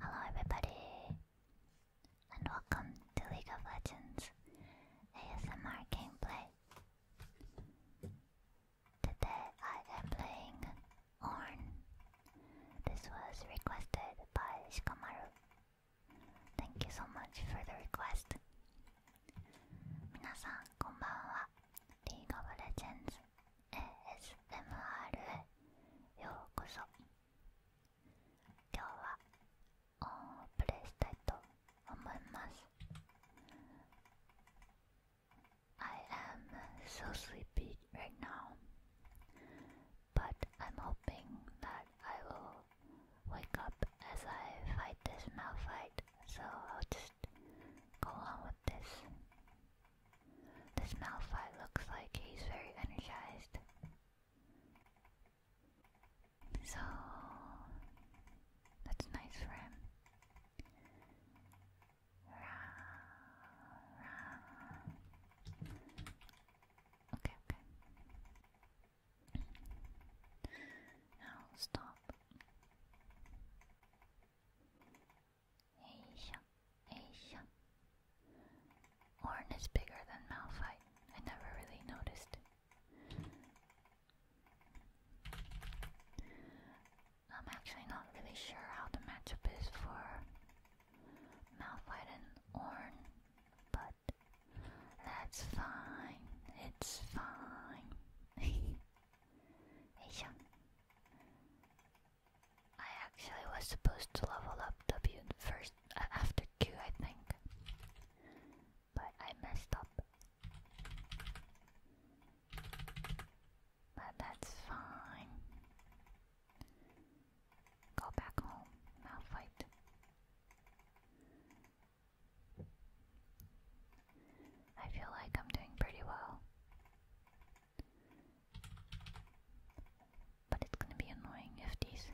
Hello everybody, and welcome to League of Legends ASMR gameplay. Today I am playing Orn. This was requested by Shikamaru. Thank you so much for the request. 皆さんこんばんは。League of Legends ASMR へようこそ。今日はプレイしたいと思います I am so sleepy right now but I'm hoping that I will wake up as I fight this malfight so I'll just go on with this this male fight looks like he's very energized. So that's nice for him. Okay, okay. Now stop. Asia, Asia. Orn is bigger than Malphite. I never really noticed. I'm actually not really sure how the matchup is for Malphite and Orn, but that's fine. It's fine. I actually was supposed to level up W first uh, after Q, I think, but I messed up. But that's fine. Go back home. Now fight. I feel like I'm doing pretty well. But it's gonna be annoying if these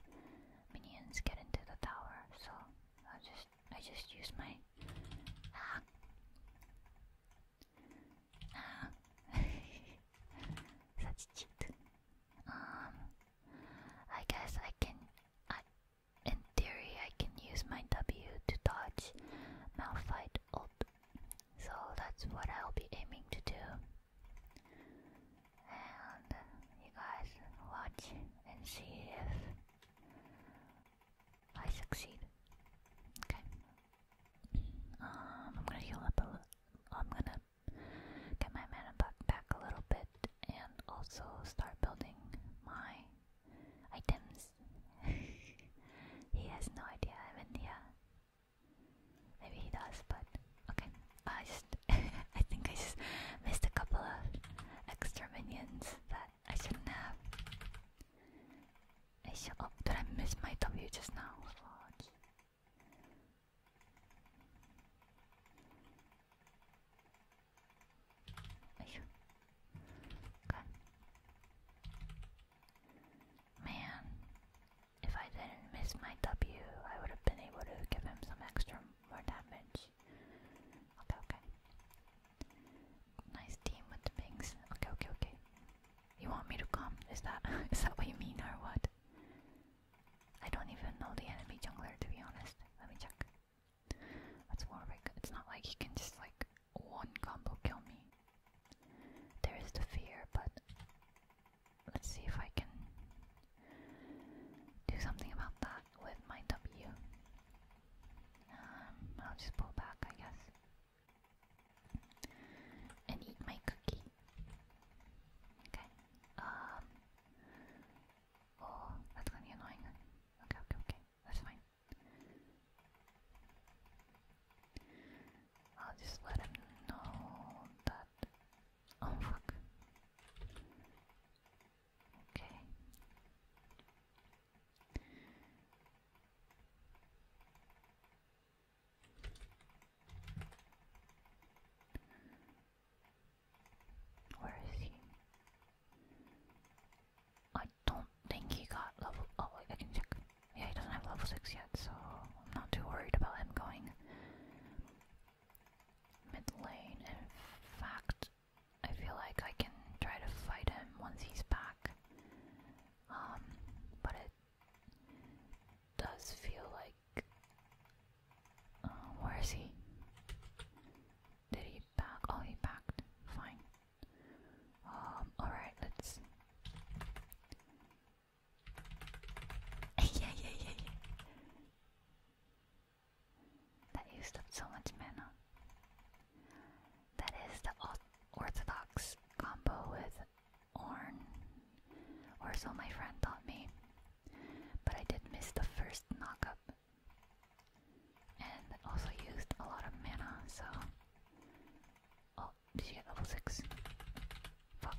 minions get into the tower, so I'll just I just use my ah. Ah. That's cheat. Um I guess I can I in theory I can use my W to dodge Malphite up, So that's what I'll be aiming to do and you guys watch and see if I succeed. Okay. Um, I'm gonna heal up a little. I'm gonna get my mana back back a little bit, and also start building my items. he has no idea I'm in here. Uh, Maybe he does, but okay. I just I think I just missed a couple of extra minions that I should have. I should oh did I miss my W just now? Man, if I didn't miss my W, I would have been able to give him some extra more damage. Okay, okay. Nice team with the pings. Okay, okay, okay. You want me to come? Is that is that what you mean or what? I don't even know the enemy jungler to be honest. Let me check. That's Warwick. It's not like he can just like one combo kill me. There is the fear, but Let's see if I can do something about that with my W. will um, just pull back, I guess. And eat my cookie. Okay. Um, oh, that's gonna be annoying. Okay, okay, okay. That's fine. I'll just let him know that. Oh fuck. Okay. Where is he? I don't think he got level. Oh, wait, I can check. Yeah, he doesn't have level 6 yet, so I'm not too worried about him going mid lane. In fact, I feel like I can try to fight him once he's back. Um, but it does feel like. Uh, where is he? Did he back? Oh, he backed. Fine. Um, alright, let's yeah, yeah, yeah, yeah. That used up so much mana. That is the orthodox combo with Orn, or so my friend taught me. But I did miss the first knockup. And also used a lot of mana, so. Oh, did you get level six? Fuck.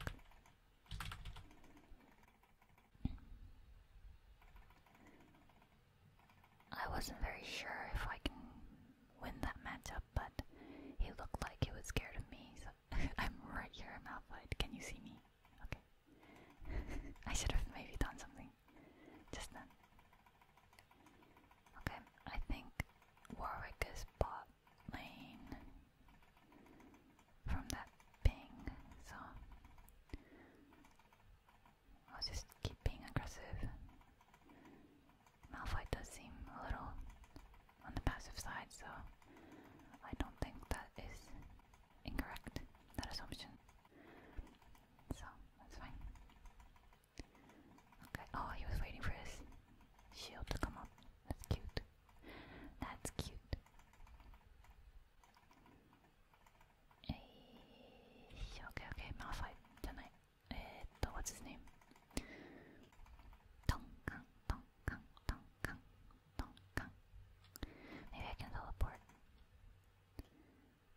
I wasn't very sure if I can win that matchup, but he looked like he was scared of me, so I'm right here in Malphite. Can you see me? Okay. I should have maybe done something just then. Okay, I think Warwick is bot lane from that ping, so I'll just keep being aggressive. Malphite does seem a little on the passive side, so I don't think that is incorrect, that assumption. So, that's fine. Okay, oh, he was waiting for his shield to come up. That's cute. That's cute. Hey, okay, okay, Malphite, tonight. Eh, what's his name? Tonkan, Tonkan, Tonkan, Tonkan. Maybe I can teleport.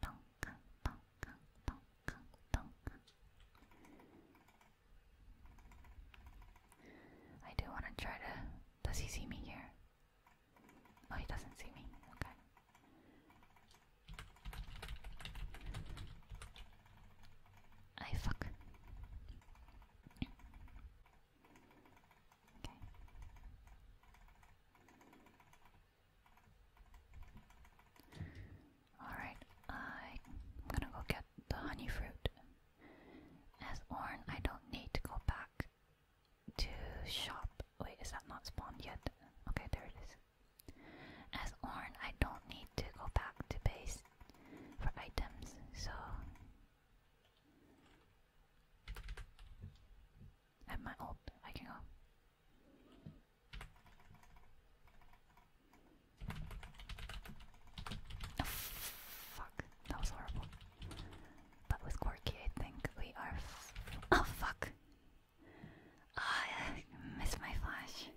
Tonkan, Tonkan, Tonkan, Tonkan. I do want to try to. Does he see me here? Oh, he doesn't see me. Okay. I fuck. Okay. Alright, I'm gonna go get the honey fruit. As Orn, I don't need to go back to shop. Wait, is that not spawned yet? Okay, there it is. As Orn, I don't need to go back to base for items, so at my ult, I can go. Oh, fuck, that was horrible. But with Quirky, I think we are. oh, fuck! I missed my flash.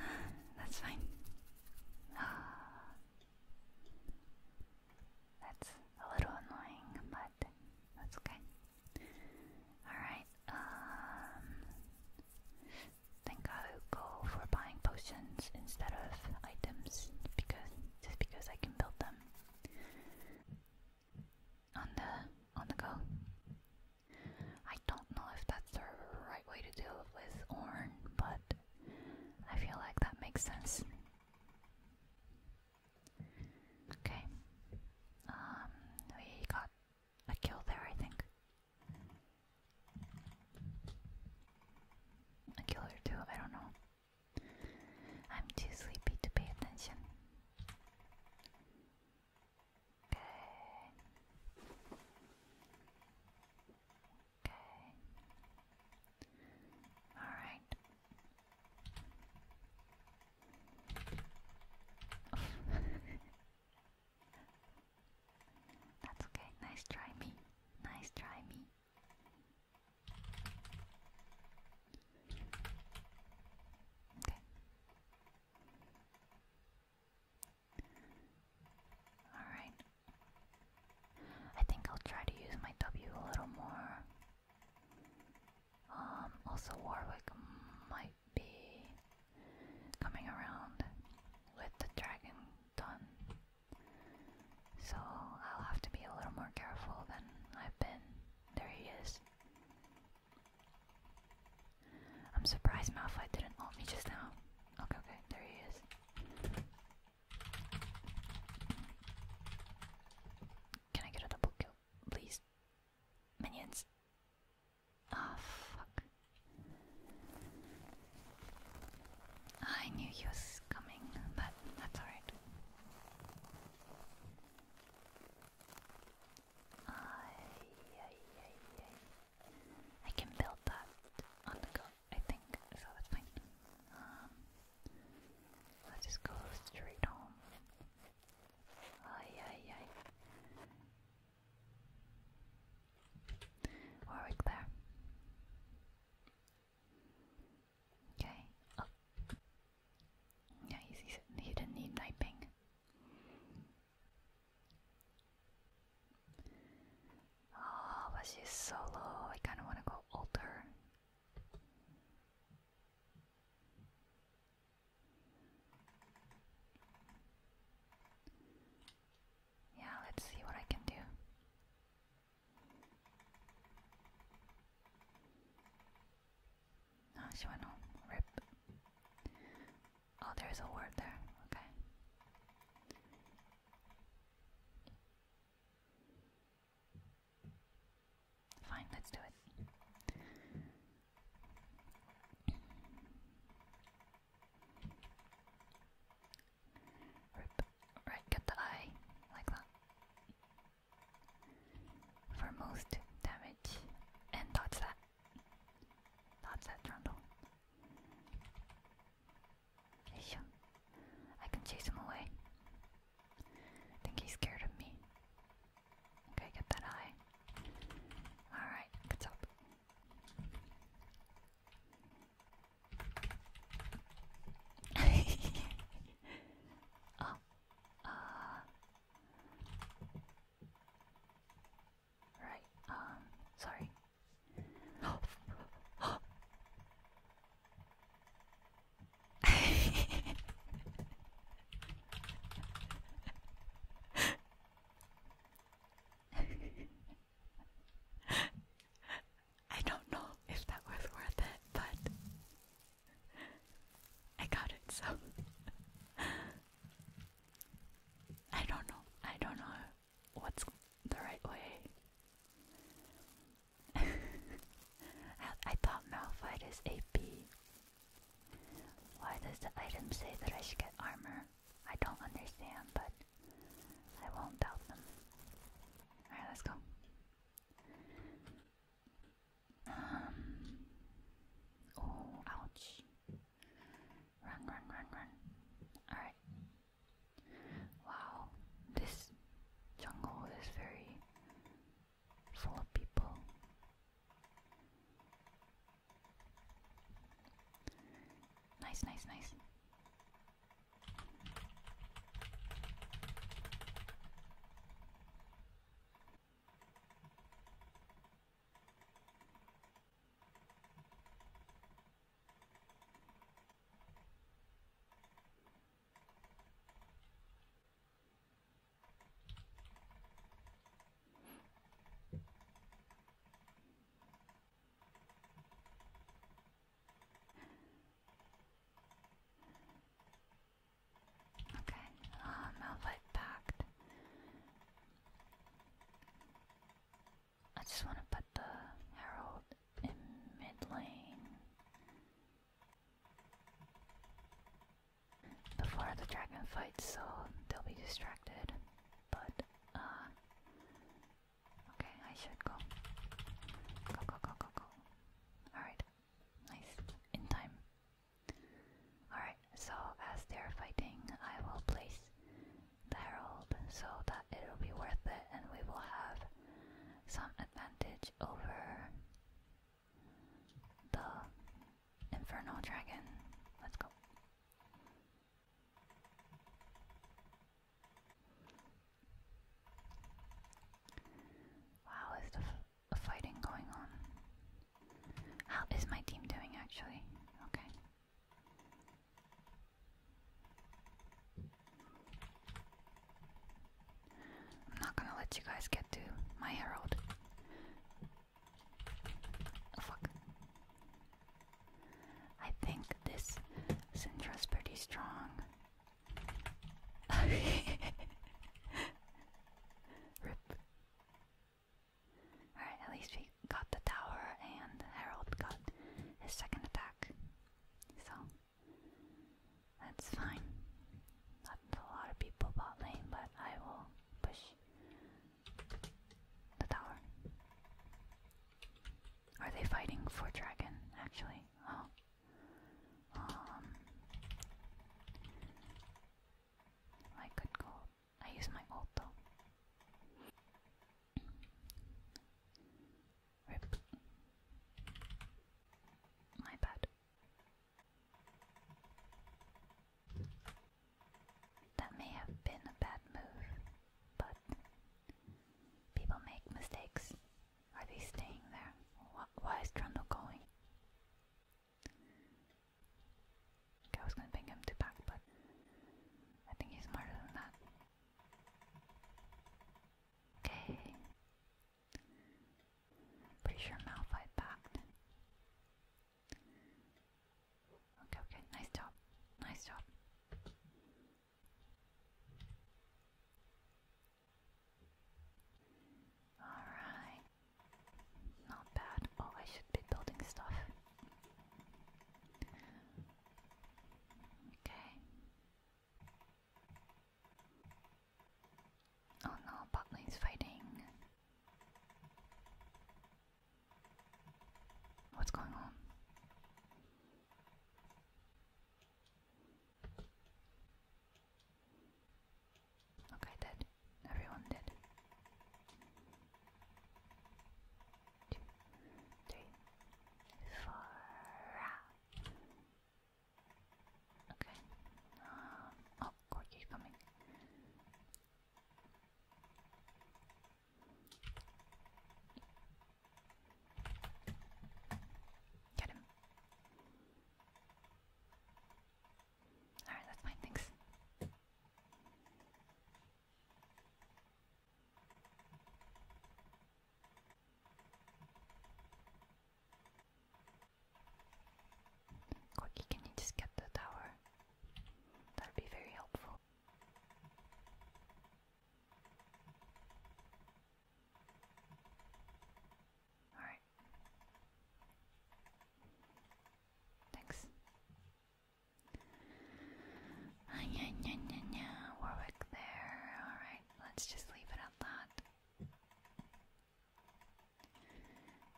That's fine. That's a little annoying, but that's okay. Alright, um, then I'll go for buying potions instead of items because just because I can build them on the on the go. I don't know if that's the right way to do it with Orn, but I feel like that makes sense. Okay. Um, we got a kill there, I think. A kill or two, I don't know. I'm too sleepy to pay attention. Okay. Okay. Alright. That's okay. Nice try, me. Nice try, me. Okay. Alright. I think I'll try to use my W a little more. Um, also, Warwick might be coming around with the dragon done. So I'll have to be a little more careful than I've been. There he is. I'm surprised Malphite didn't ult me just now. Okay, okay, there he is. Can I get a kill, please? Minions. Ah, fuck. I knew you was coming, but that's alright. I can build that on the go, I think, so that's fine. Um, let just go straight home. Ay, ay, ay. Warwick there. Okay. Oh. Yeah, he didn't need kniping. Oh, but she's so low. I kind of want to go alter. Yeah, let's see what I can do. Ah, Shimano, rip. Oh, there's a word there, okay. Fine, let's do it. Right, get the eye, like that. For most damage. And dodge that. Dodge that, Trundle. I can chase him away. I think he's scared of me. Okay, get that eye. Alright, good job oh, uh, right. Um, sorry. I don't know if that was worth it, but I got it, so I don't know. I don't know what's the right way. I, thought Malphite is a B. Why does the item say that I should get armor? I don't understand, but I won't doubt them. Alright, let's go. Um. ouch. Run, run, run, run. Alright. Wow, this jungle is very full of people. Nice, nice, nice. Okay, um, outlet packed. I just want to put the Herald in mid lane before the dragon fights, so they'll be distracted. But uh, okay, I should go. Go, go, go, go, go. Alright, nice. In time. Alright, so as they're fighting, I will place the herald so that it'll be worth it and we will have some advantage over the infernal dragon. Let's go. Wow, is the fighting going on? How is my team doing actually? Okay. I'm not gonna let you guys get to my herald. Oh, fuck. I think this Syndra's pretty strong. Rip. Alright, at least we got the tower and Harold got his second attack. So, that's fine. Not a lot of people bot lane, but I will push the tower. Are they fighting for dragon, actually? Oh. Um I could go I use my ult though. My bad. That may have been a bad move, but people make mistakes. Are they staying there? why is Trundle going? Okay, I was gonna bring him to back, but I think he's smarter than that. Okay. Pretty sure Malphite backed. Okay, okay, nice job. Nice job. Alright. Not bad. Oh, I should be building stuff. Okay. Oh no, bot lane's fighting. What's going on? Okay, dead. Everyone dead. Two, three, four. Ah. Okay. Um, oh, Corky's coming. Get him. Alright, that's fine, thanks. Quickie, can you just get the tower? That'd be very helpful. All right. Thanks. Uh, yeah, yeah, yeah, yeah. Warwick there. All right. Let's just leave it at that.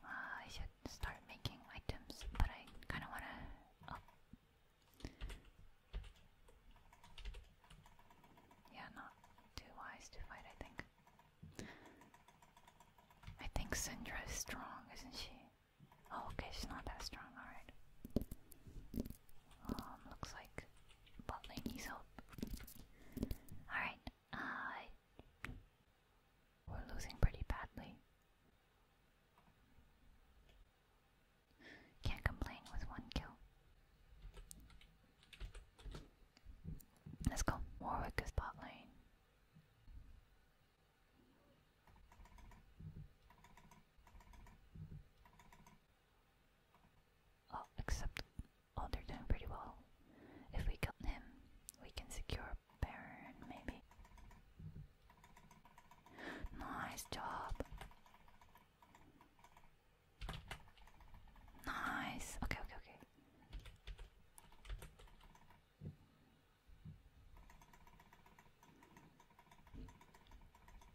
Uh, I should start making items, but I kind of want to. Oh, yeah, not too wise to fight, I think. I think Syndra is strong, isn't she? Oh, okay, she's not that strong, alright. Oh, um, looks like bot needs help. Alright, uh, we're losing pretty badly. Can't complain with one kill. Let's go. Warwick bot lane. Oh, except, oh, they're doing pretty well. If we kill him, we can secure Baron, maybe. Nice job. Nice. Okay, okay, okay.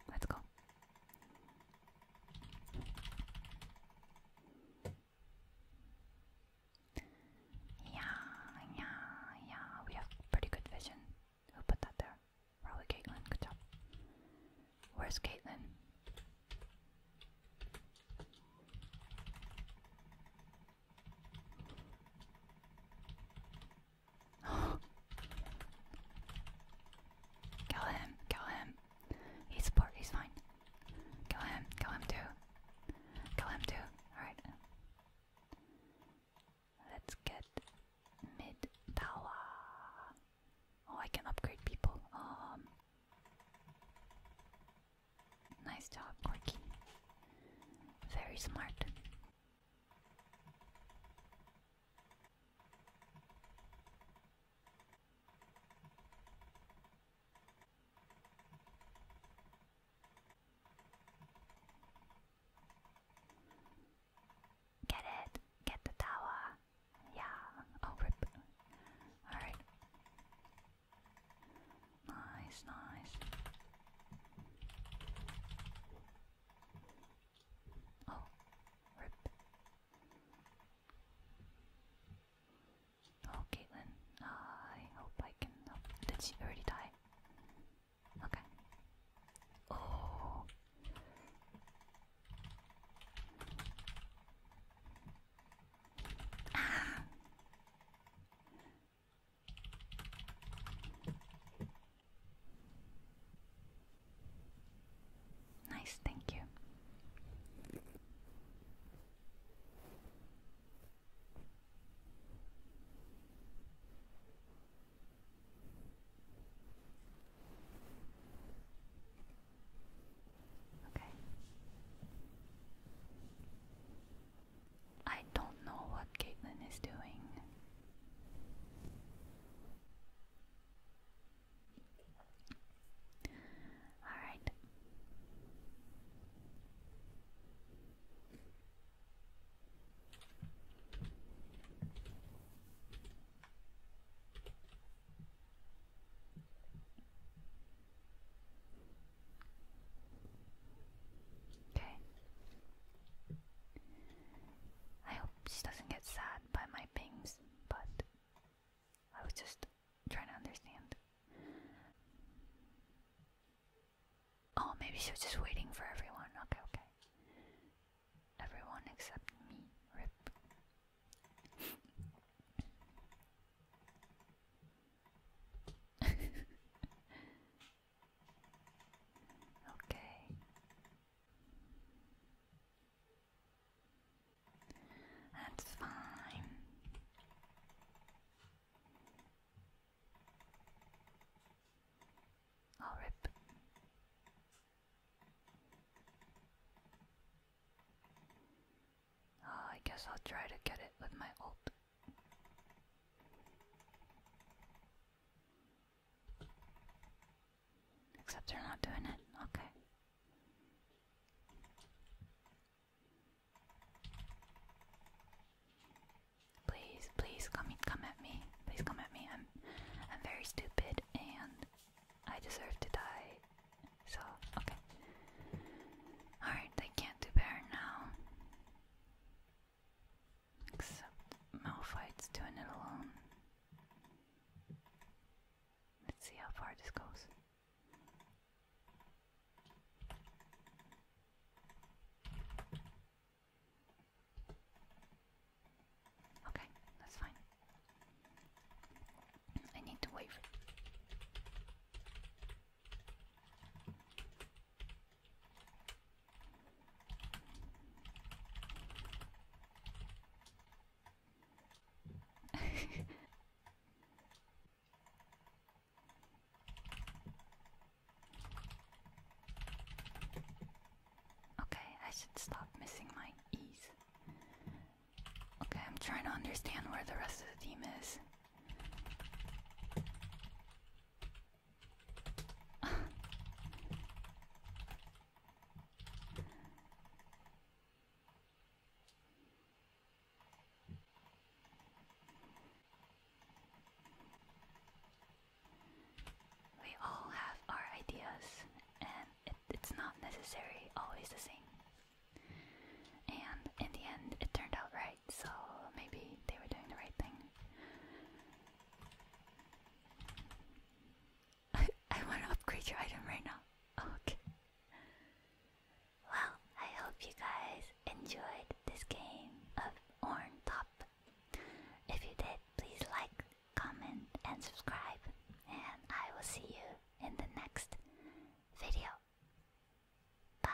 Let's go. Yeah, yeah, yeah. We have pretty good vision. Who put that there? Probably Caitlin. Good job. Where's Caitlin? kill him, kill him. He's fine. Kill him, kill him too. Kill him too. Alright. Let's get mid tower. Oh, I can upgrade people. Um, nice job, Corky. Very smart. Get it! Get the tower! Yeah! Oh, rip. Alright. Nice, nice. Oh, rip. Oh, Caitlin, I hope I can. Oh, did she already die? Okay. Oh. Nice, thank you. Okay. I don't know what Caitlin is doing. All right. Okay. I hope she doesn't get sad by my pings, but I was just trying to understand. Oh, maybe she was just waiting for everyone. Okay, okay. Everyone except me. Rip. okay. That's fine. I'll rip. Oh, I guess I'll try to get it with my ult. Except they're not doing it. Okay. Please, please come, come at me. Please come at me. I'm, I'm very stupid and I deserve to die. So, okay. Alright, they can't do better now. Except Malphite's doing it alone. Let's see how far this goes. Okay, that's fine. I need to wave. Okay, I should stop missing my E's. Okay, I'm trying to understand where the rest of the team is. We all have our ideas, and it's not necessary always the same. And in the end, it turned out right, so maybe they were doing the right thing. I, I want to upgrade your item right now. okay. Well, I hope you guys enjoyed this game of Orn Top if you did, please like, comment, and subscribe. And I will see you in the next video. Bye.